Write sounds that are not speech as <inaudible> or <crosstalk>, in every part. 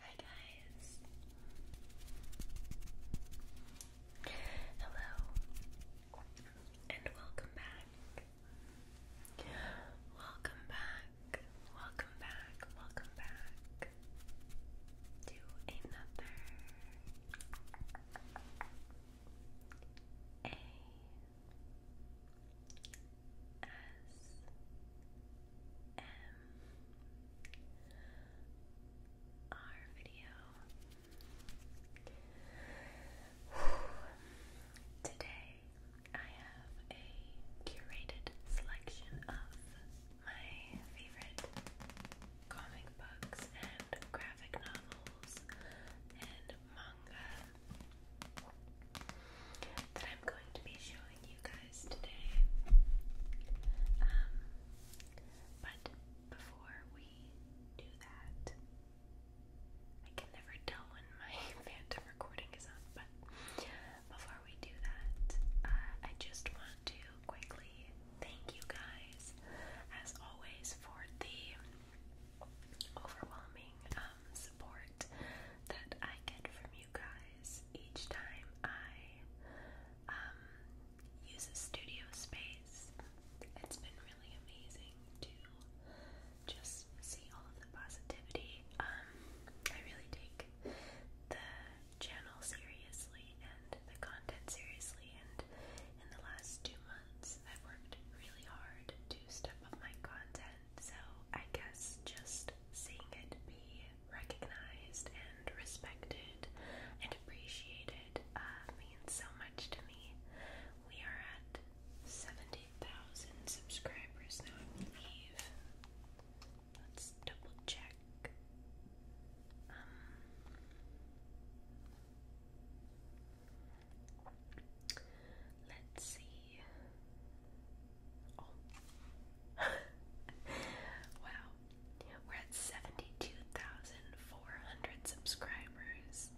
Hi guys. Hello and welcome back. Welcome back. Welcome back. Welcome back to another A S our video. Today I have a curated selection of my favorite comic books and graphic novels and manga that I'm going to be showing you guys today. Um, but before we do that, I can never tell when my <laughs> phantom recording is on, but before we do that, uh, I just want to quickly thank you guys, as always, for the overwhelming um, support that I get from you you guys each time I um, use a studio space. It's been really amazing to just see all of the positivity. Um, I really take the channel seriously and the content seriously, and in the last two months, I've worked really hard to step up my content. So I guess just seeing it be recognized and respected and appreciated uh, means so much to me. We are at 70,000 subscribers now, I believe. Let's double check. Um, let's see. <laughs> wow. We're at 72,400 subscribers. <laughs>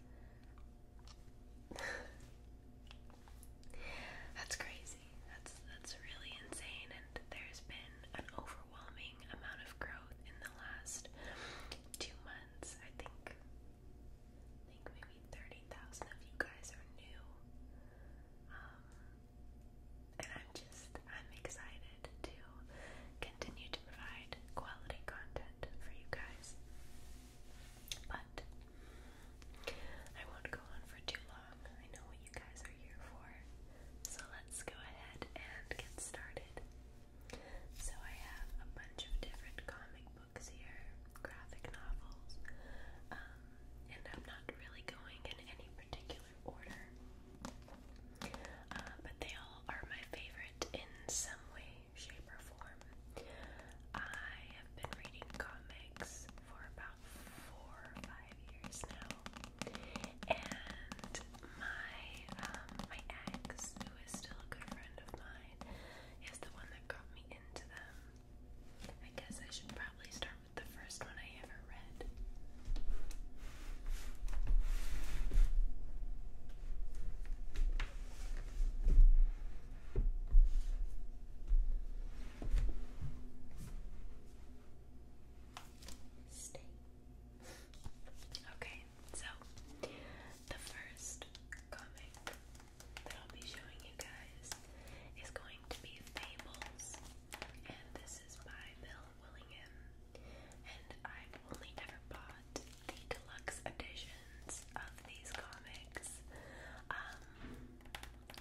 that's crazy. That's that's really insane and there's been an overwhelming amount of growth in the last 2 months. I think think maybe 30,000 of you guys are new. Um, and I'm just, I'm excited to continue to provide quality content for you guys. But I won't go on for too long. I know what you guys are here for. So let's go ahead and get started. So I have a bunch of different comic books here, graphic novels, um, and I'm not really going in any particular order. Uh, but they all are my favorite in some way, shape, or form. I have been reading comics for about four five years now, and my um, my ex, who is still a good friend of mine, is the one that got me into them. I guess I should probably start with the first one I ever read. Stay. <laughs> Okay, so the first comic that I'll be showing you guys is going to be Fables, and this is by Bill Willingham. And I've only ever bought the deluxe editions of these comics. Um,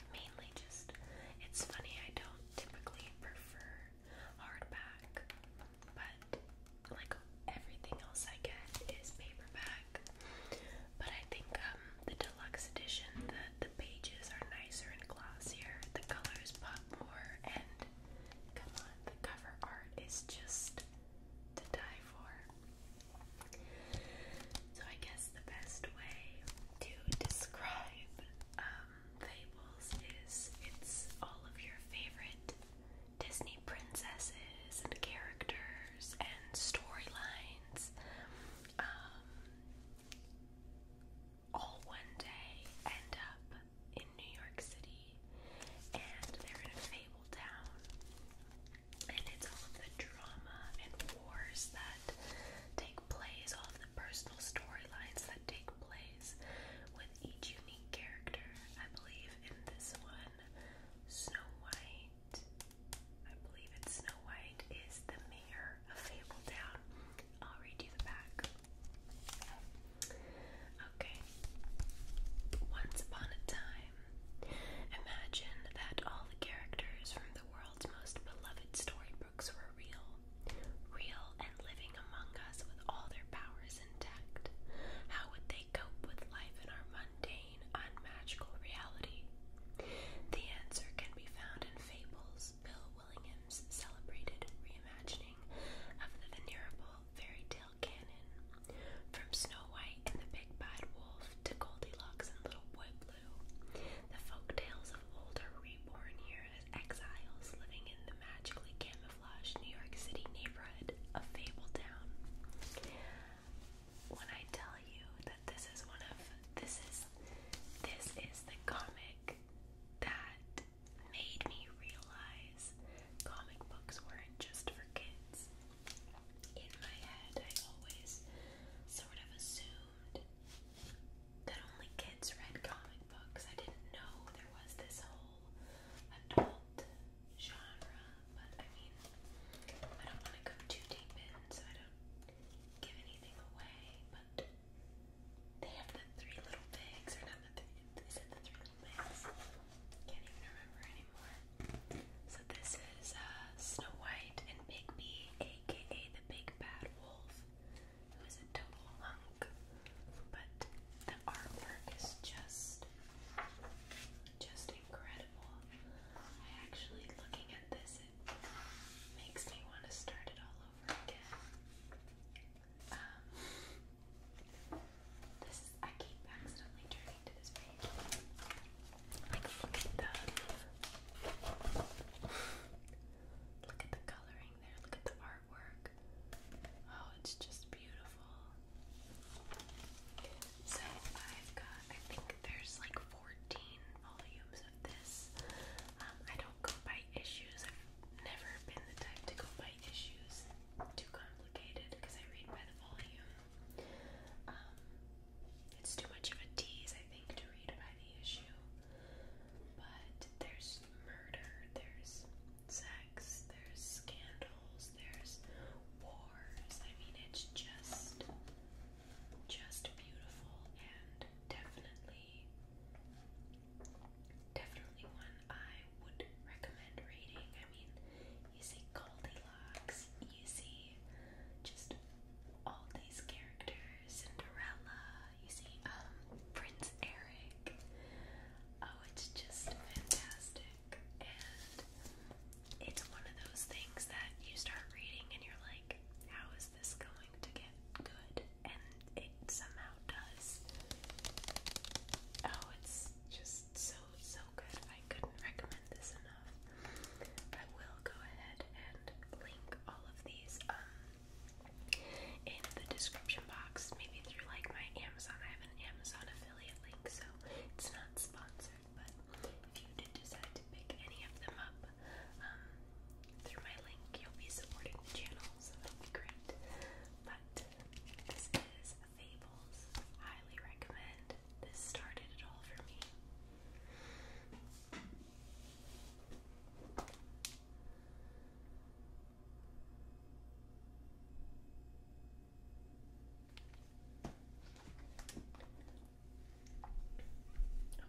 mainly just, it's funny, I don't typically prefer hardback, but like everything else I get is paperback. But I think um, the deluxe edition, the, the pages are nicer and glossier. The colors pop more, and come on, the cover art is just to die for. So I guess the best way to describe um, Fables is it's all of your favorite Disney princesses and characters and storylines lines. Um, all one day end up in New York City, and they're in a fable town, and it's all of the drama and wars that take place, all of the personal storylines that take place with each unique character. I believe in this one, Snow White. I believe it's Snow White is the mayor of Fabletown. I'll read you the back. Okay. Once upon a time, imagine that all the characters from the world's most beloved storybooks were real. Real and living among us with all their powers intact. How would they cope with life in our mundane? attain reality? The answer can be found in Fables, Bill Willingham's celebrated reimagining of the venerable fairy tale canon. From Snow White and the Big Bad Wolf to Goldilocks and Little Boy Blue, the folk tales of old are reborn here as exiles living in the magically camouflaged New York City neighborhood of Fabletown when I tell you that this is one of this is this is the comic that made me realize comic books weren't just for kids. In my head, I always sort of assumed that only kids read comic books. I didn't know there was this whole adult genre but I mean, I don't want to go too deep in, so I don't give anything away. But they have the three little pigs, or not the three, is it the three little pigs? Can't even remember anymore. So this is uh, Snow White and Big B, aka the Big Bad Wolf, who is a total hunk. But the artwork is just, just incredible. I actually, looking at this, it makes me want to start it all over again. Um, this I keep accidentally turning to this page. Like, look at the, look at the coloring there, look at the artwork. Oh, it's just beautiful. So I've got, I think there's like 14 volumes of this. Um, I don't go by issues. I've never been the type to go by issues. Too complicated because I read by the volume. Um, it's too much of a tease, I think, to read by the issue. But there's murder, there's sex, there's scandals, there's wars. I mean, it's just just beautiful and definitely definitely one I would recommend reading. I mean, you see Goldilocks, you see just all these characters, Cinderella, you see um, Prince Eric. Oh, it's just fantastic. And it's one of those things that you start reading and you're like, how is this going to get good? And it somehow does. Oh, it's just so, so good. I couldn't recommend this enough. I will go ahead and link all of these um, in the description box, maybe through like my Amazon. I have an Amazon affiliate link, so it's not sponsored, but if you did decide to pick any of them up um, through my link, you'll be supporting the channel, so that'll be great. But this is Fables. Highly recommend. This started it all for me.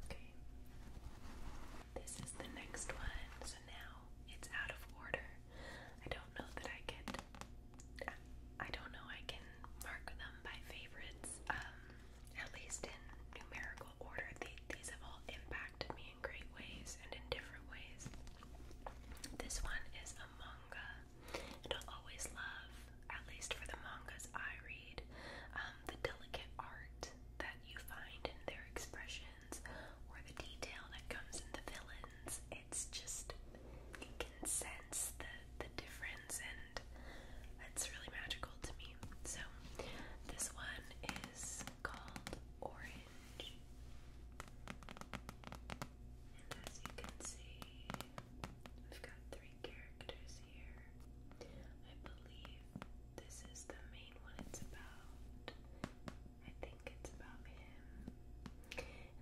Okay. This is the next one, so now it's out of order. I don't know that I could. I don't know I can mark them by favorites, um, at least in numerical order. these have all impacted me in great ways and in different ways. This one is a manga and I'll always love, at least for the mangas I read, um, the delicate art that you find in their expressions or the detail that comes in the villains. It's just you can sense the the difference, and it's really magical to me. So this one is called Orange. And as you can see, we've got three characters here. I believe this is the main one it's about. I think it's about him.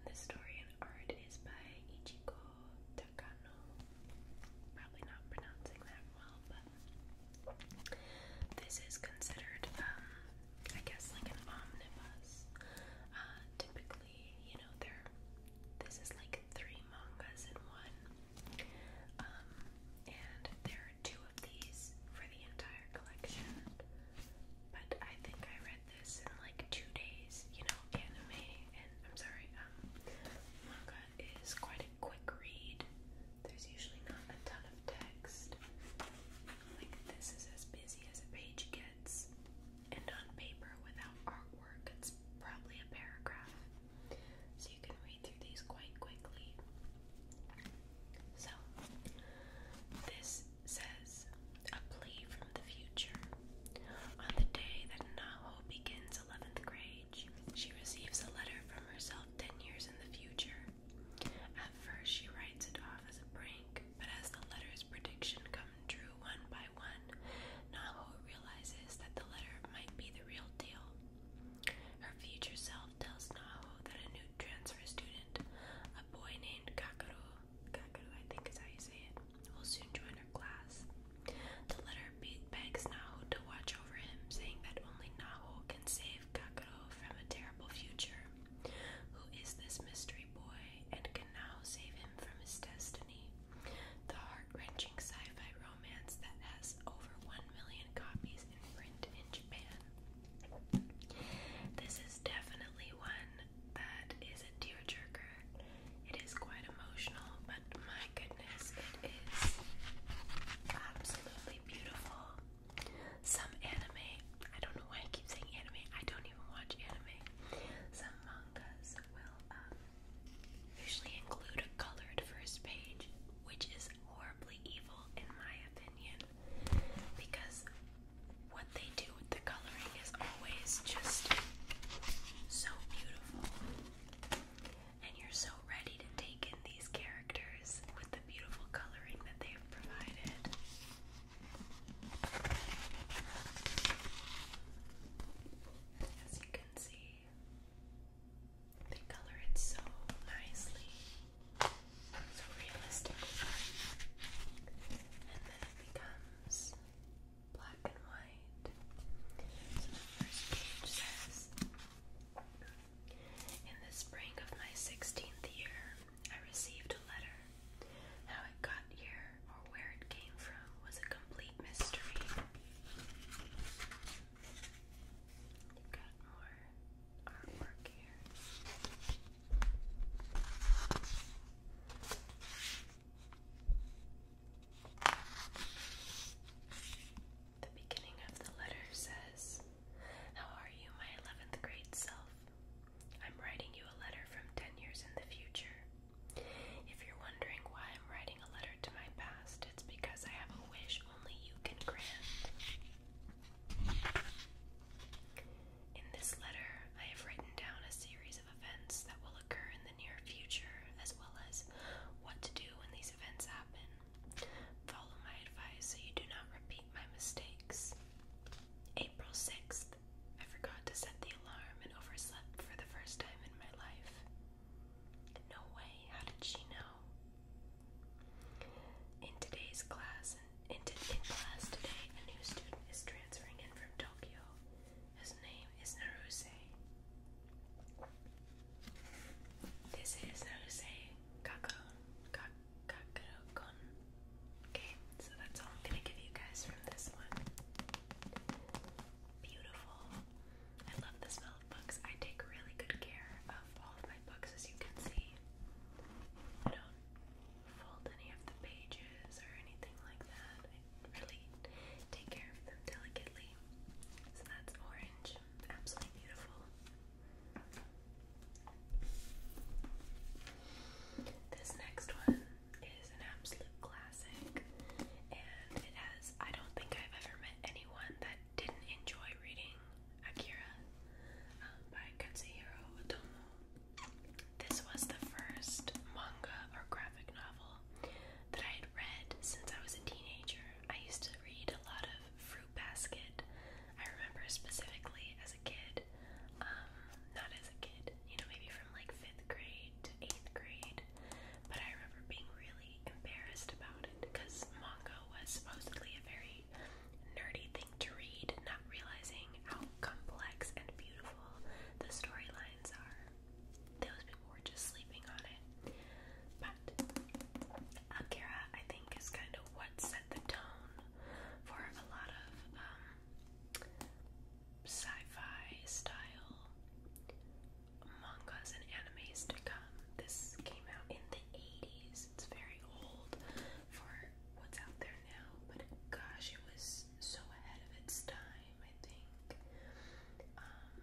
the story and art is by Ichiko Takano. Probably not pronouncing that well, but this is considered, um, I guess, like an omnibus. Uh, typically you know, they this is like three mangas in one. Um, and there are two of these for the entire collection. But I think I read this in like two days, you know, anime and I'm sorry, um, manga is quite a quick read. There's usually not a ton of text. Like this is as busy as a page gets. And on paper without artwork, it's probably a paragraph. So you can read through these quite quickly. So, this says a plea from the future. On the day that Naho begins 11th grade, she receives a letter from herself 10 years in the future. At first, she writes it off as a prank, but as the letter prediction come true one by one, Naho realizes that the letter might be the real deal. Her future self tells Naho that a new transfer student, a boy named Kakaru, Kakaru I think is how you say it, will soon join her class. The letter begs Naho to watch over him, saying that only Naho can save Kakaru from a terrible future. Who is this mystery boy, and can now save him from his destiny? the heart wrenching sci fi romance that has over 1 million copies in print in Japan. This is definitely one that is a tearjerker. It is quite emotional, but my goodness, it is absolutely beautiful. Some anime, I don't know why I keep saying anime, I don't even watch anime. Some mangas um, usually include a colored first page, which is horribly evil in my opinion, because what they do with the coloring is always just so beautiful. And you're so ready to take in these characters with the beautiful coloring that they've provided. As you can see, they color it so nicely, so realistically, and then it becomes black and white. So the first page says, in the spring of my 16th year, I received a letter how it got here or where it came from was a complete mystery. You've got more artwork here. The beginning of the letter says, How are you, my 11th grade self? I'm writing you a letter from 10 years in the future. If you're wondering why I'm writing a letter to my past, it's because I have a wish only you can grant. In this letter, I have written down a series of events that will occur in the near future, as well as what to do when these events happen. Follow my advice so you do not repeat my mistakes. April 6th, I forgot to set the alarm and overslept for the first time in my life. No way, how did she know? In today's class, in, in class today, a new student is transferring in from Tokyo. His name is Naruse. This is Naruse Kako, Kakarokon. Okay, so that's all I'm gonna give you guys from this one. Beautiful. I love the smell of books. I take really good care of all of my books, as you can see. I don't fold any of the pages or anything like that. I really take care of them delicately. So that's orange. Absolutely beautiful. This next one is an absolute classic, and it has, I don't think I've ever met anyone that didn't enjoy reading Akira um, by Katsuhiro Otomo. This was the first manga or graphic novel that I had read since I was a teenager. I used to read a lot of Fruit Basket. I remember specifically as a kid. Um, not as a kid, you know, maybe from like fifth grade to eighth grade. But I remember being really embarrassed about it because manga was supposedly a very nerdy thing to read, not realizing how complex and beautiful the storylines are. Those people were just sleeping on it. But Akira, I think, is kind of what set the tone for a lot of um, sci-fi style mangas and animes to come. This came out in the 80s. It's very old for what's out there now, but gosh, it was so ahead of its time, I think. Um,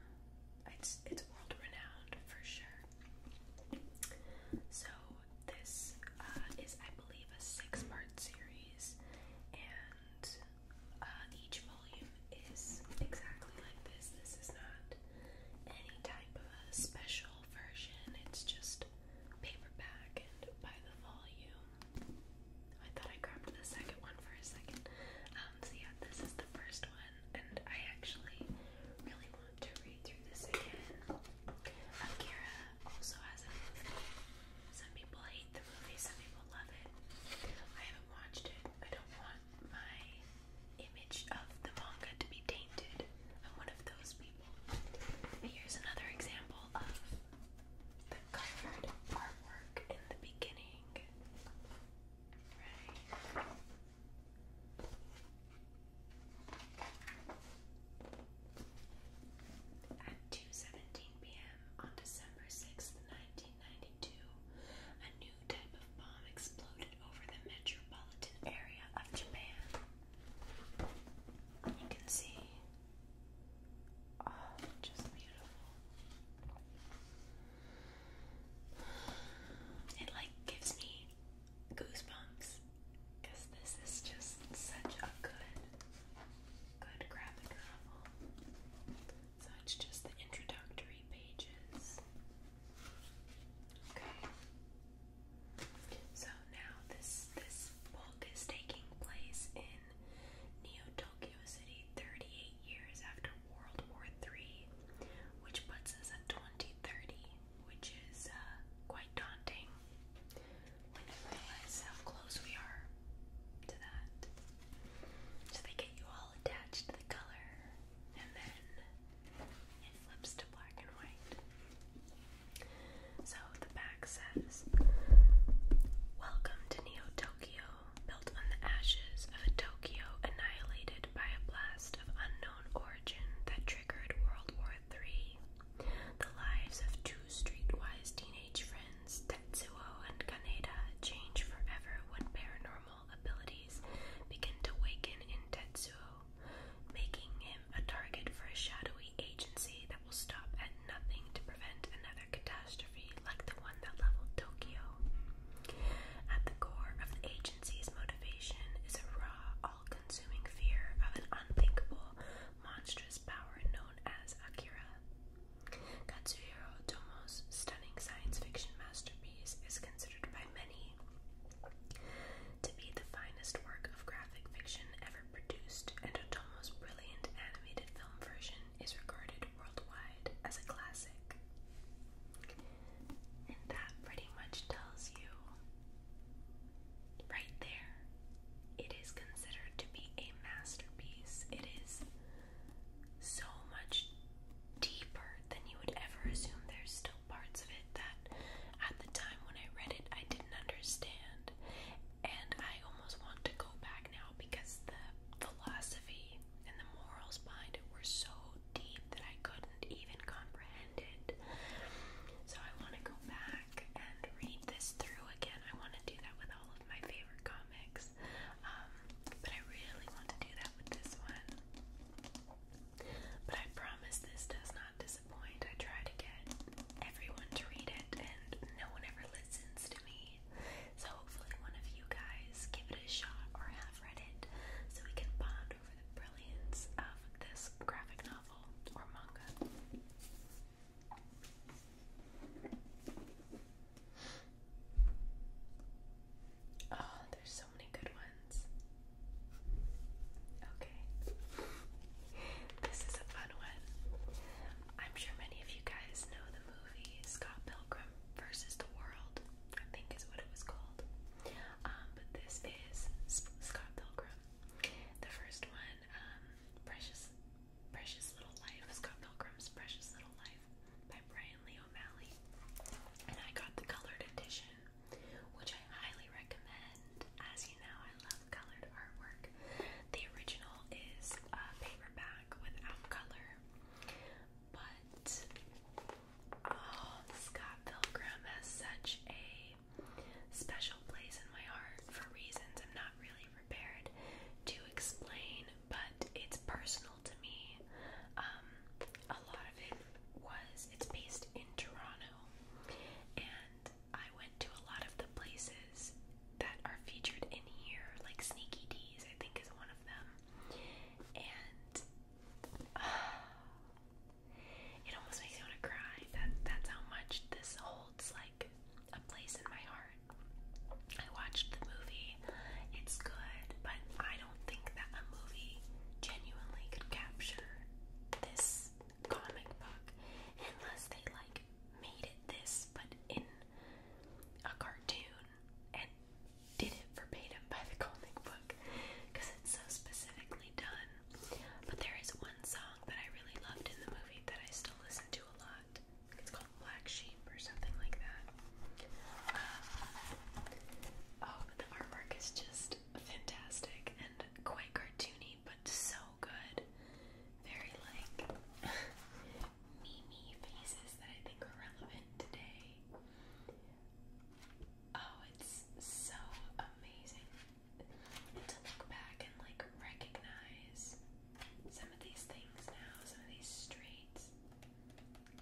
it's it's world renowned for sure. So this uh, is, I believe, a six-part series series, and uh, each volume is exactly like this. This is not any type of special version, it's just paperback and by the volume. I thought I grabbed the second one for a second. Um, so, yeah, this is the first one, and I actually really want to read through this again. Akira also has a movie. Some people hate the movie, some people love it. I haven't watched it. I don't want my image of the manga to be tainted. I'm one of those people. Here's another example of the covered artwork in the beginning. Right. At 2.17 p.m. on December 6, 1992, a new type of bomb exploded over the metropolitan area of Japan. You can see, oh, just beautiful. It like gives me goosebumps because this is just such a good good graphic novel. So it's just the introductory pages. Okay. So now this this book is taking place in Neo Tokyo City 38 years after World War III, which puts us at 2030, which is uh, quite daunting. So they get you all attached to the color, and then it flips to black and white. So the back says, Welcome to Neo Tokyo, built on the ashes of a Tokyo annihilated by a blast of unknown origin that triggered World War III. The lives of 2 two streetwise teenage friends, Tetsuo and Kaneda, change forever when paranormal abilities begin to waken in Tetsuo, making him a target for a shadowy agency that will stop at nothing to prevent another catastrophe like the one that leveled Tokyo. At the core of the agency's motivation is a raw, all consuming fear of an unthinkable, monstrous power known as Akira. Katsuhiro Otomo's stunning science fiction masterpiece is considered by many to be the finest work of graphic fiction ever produced, and Otomo's brilliant animated film version is regarded worldwide as a classic. And that pretty much tells you right there. It is considered to be a masterpiece. It is so much deeper than you would ever assume. There's still parts of it that at the time when I read it, I didn't understand. And I almost want to go back now because the philosophy and the morals behind it were so deep that I couldn't even comprehend it. So I want to go back and read this through again. I want to do that with all of my favorite comics, um, but I really want to do that with this one. But I promise this does not disappoint. I try to get everyone to read it, and no one ever listens to me. So hopefully, one of you guys give it a shot or have read it, so we can bond over the brilliance of this graphic novel or manga. Oh, there's so many good ones. Okay. This is a fun one. I'm sure many of you guys know the movie Scott Pilgrim versus the World, I think is what it was called. Um, but this is Scott Pilgrim. The first one um, Precious Precious Little Life, Scott Pilgrim's Precious Little Life by Brian Lee O'Malley. And I got the colored edition, which I highly recommend. As you know, I love colored artwork. The original is a paperback without color, but oh, Scott Pilgrim has such a special place in my heart for reasons I'm not really prepared to explain, but it's personal to me. Um, a lot of it was, it's based in Toronto, and I went to a lot of the places that are featured in here, like Sneaky D's, I think is one of them. And <sighs> it almost makes me want to cry. That that's how much this whole holds like a place in my heart. I watched the movie, it's good, but I don't think that a movie genuinely could capture this comic book unless they like made it this but in a cartoon and did it verbatim by the comic book because it's so specifically done but there is one song that I really loved in the movie that I still listen to a lot. It's called Black Sheep or something like that. Um, oh, but the artwork is just fantastic and quite cartoony, but so good. Very like meme faces that I think are relevant today. Oh, it's so amazing to look back and like recognize some of these things now, some of these streets,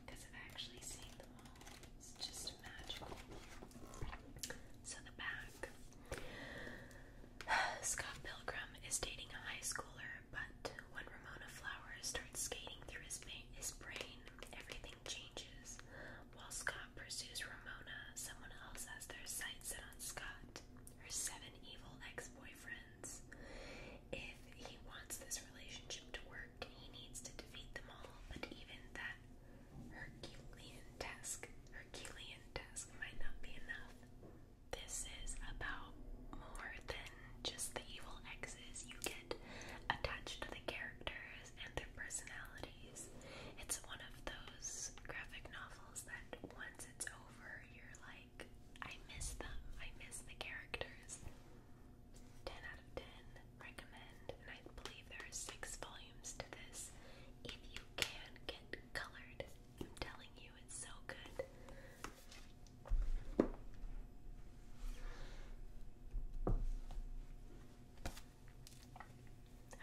because I've actually seen them all. It's just magical. So the back. <sighs> Scott Pilgrim is dating a high schooler, but when Ramona Flowers starts skating through his, his brain, everything changes. While Scott pursues Ramona, someone else has their sights set on Scott, her seven evil ex boyfriends. If he wants this relationship to work, he needs to defeat them all, but even that Herculean task, Herculean task might not be enough. This is about more than just the evil exes. You get attached to the characters and their personalities. It's one of those graphic novels that once it's over, you're like, I miss them. I miss the characters. 10 out of 10 recommend, and I believe there are six volumes to this. If you can get colored, I'm telling you, it's so good.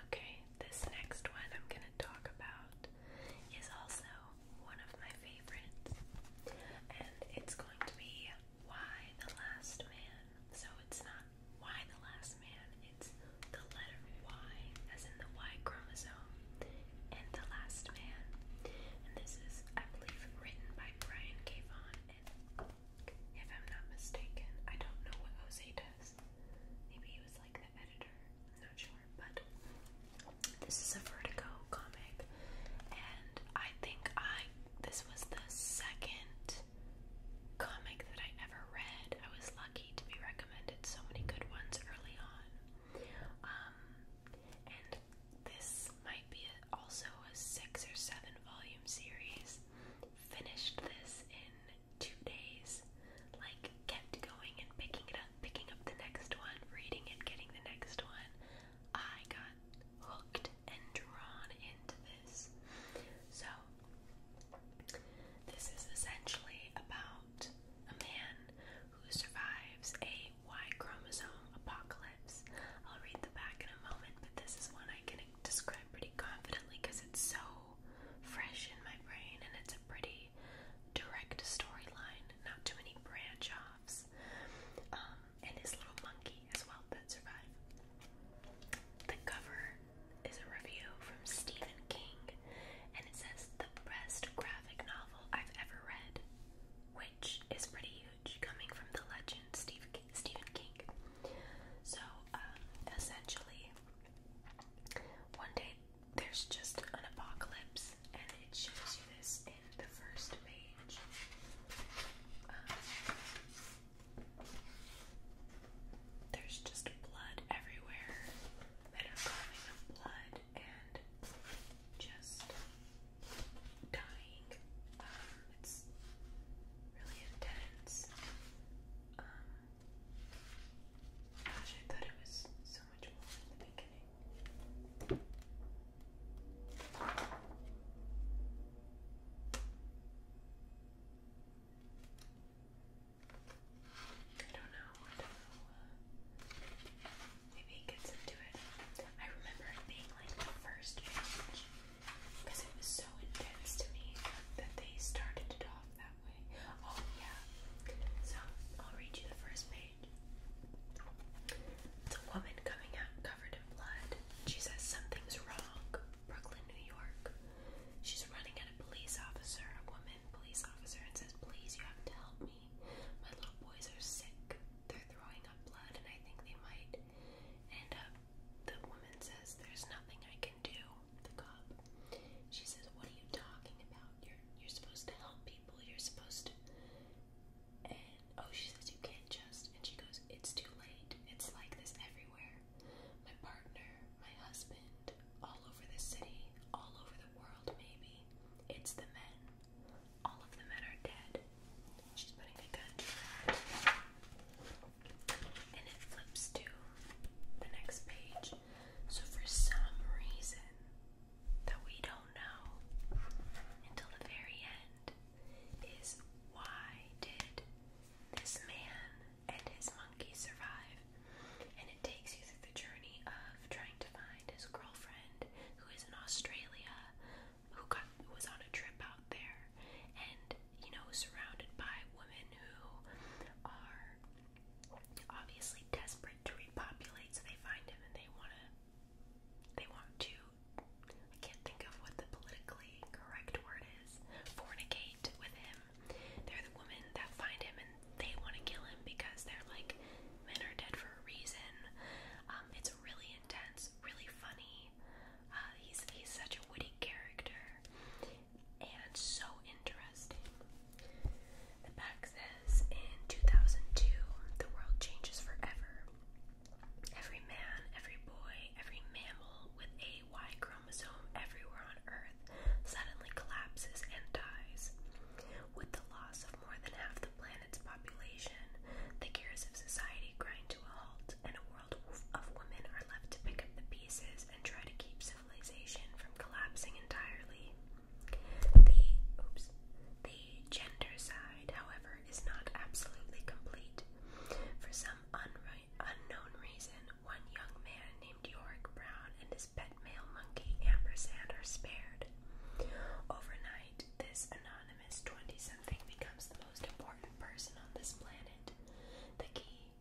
Okay, this next one I'm going to talk about is also one of my favorites, and it's going to be Why the Last Man. So it's not Why the Last Man, it's the letter Y, as in the Y chromosome, and the last man. And this is, I believe, written by Brian K. Vaughan, and if I'm not mistaken, I don't know what Jose does. Maybe he was like the editor, I'm not sure. But this is a Vertigo comic, and I think I this was the second comic that I ever read. I was lucky to be recommended so many good ones early on. Um, and this might be also a six or seven volume series. Finished this in two days, like kept going and picking it up, picking up the next one, reading it, getting the next one. I got hooked and drawn into this. So, this is essentially about a man who survives a Y chromosome apocalypse. I'll read the back in a moment, but this is one I can describe pretty confidently because it's so fresh in my brain, and it's a pretty direct storyline, not too many branch offs. Um, and his little monkey as well that survived. The cover is a review from Stephen King, and it says the best graphic novel I've ever read, which is pretty huge coming from the legend Steve Stephen King. So um, essentially, one day there's just an apocalypse, and it shows you this in the first page. Um, there's just blood everywhere, metacoming of blood, and just dying. Um, it's really intense. Um, Gosh, I thought it was so much more in the beginning. I don't know. Uh, maybe it gets into it. I remember it being like the first page because it was so intense to me that they started it off that Oh, oh, yeah. So, I'll read you the first page. It's a woman coming out covered in blood. She says something's wrong. Brooklyn, New York. She's running at a police officer, a woman police officer, and says, Please, you have to help me. My little boys are sick. They're throwing up blood, and I think they might end up. The woman says, There's nothing I can do the cop. She says, What are you talking about? You're you're supposed to help people, you're supposed to and oh she says you can't just and she goes, It's too late. It's like this everywhere. My partner, my husband, all over the city, all over the world maybe. It's the men. All of the men are dead. She's putting a gun to her head and it flips to the next page. So, for some reason that we don't know until the very end, is why did this man and his monkey survive? And it takes you through the journey of trying to find his girlfriend who is in Australia, who got was on a trip out there, and you know, surrounded by women who are obviously desperate to repopulate, so they find him and they want to, they want to, I can't think of what the politically correct word is, fornicate with him. They're the women that find him and they want to kill him because they're like, men are dead for a reason. Um, it's really intense, really funny. Uh, he's he's such a witty character, and so interesting. The back says In 2002, the world changes forever. Every man, every boy, every mammal with a Y chromosome everywhere on Earth suddenly collapses and dies. With the loss of more than half the planet's population, the gears of society grind to a halt in a world of women are left to pick up the pieces and try to keep civilization from collapsing entirely. The oops, the gender side, however, is not absolutely complete. For some unknown reason, one young man named Yorick Brown and his pet male monkey Ampersand are spared. Overnight, this anonymous 20-something becomes the most important person on this planet. The key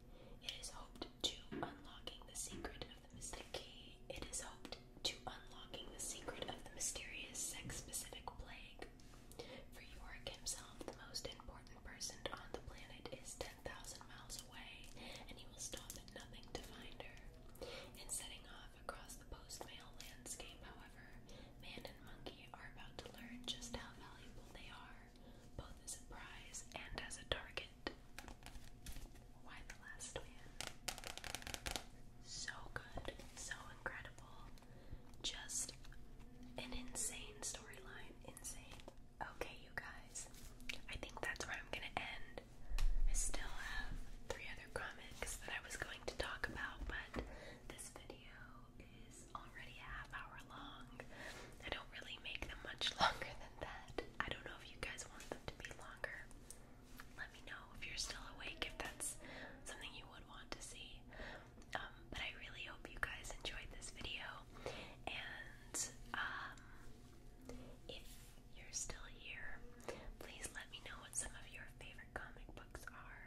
it is hoped to unlocking the secret of the mysterious sex-specific plague. For Yorick himself, the most important person on the planet is 10,000 miles away, and he will stop at nothing to find her. In setting off across the post landscape, however, man and monkey are about to learn just how valuable they are both as a prize and as a target. Why the last man? So good, so incredible. Just an insane storyline. Insane. Okay, you guys. I think that's where I'm gonna end. I still have three other comics that I was going to talk about, but this video is already a half hour long. I don't really make them much <laughs> longer than that. I don't know if you guys want them to be longer. Let me know if you're still awake, if that's something you would want to see. Um, but I really hope you guys enjoyed this video. And um, if you're still here, please let me know what some of your favorite comic books are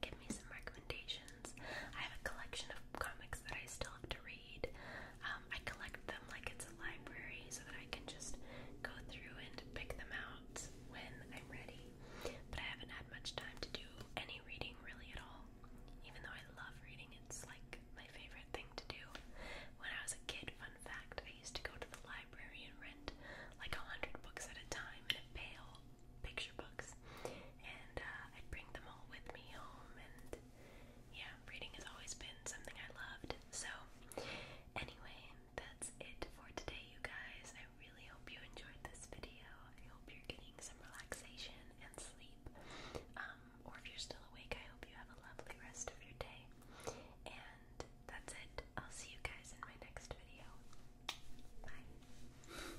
give me some recommendations. I have a collection of comics that I still have to read. Um, I collect them like it's a library so that I can just go through and pick them out when I'm ready. But I haven't had much time to do any reading really at all. Even though I love reading, it's like my favorite thing to do. When I was a kid, fun fact, I used to go to the library and rent like a hundred books at a time in a pail picture books, and uh, I'd bring them all with me home. And yeah, reading has always been something I loved. So, anyway, that's it for today, you guys. I really hope you enjoyed this video. I hope you're getting some relaxation and sleep. Um, or if you're still awake, I hope you have a lovely rest of your day. And that's it. I'll see you guys in my next video. Bye.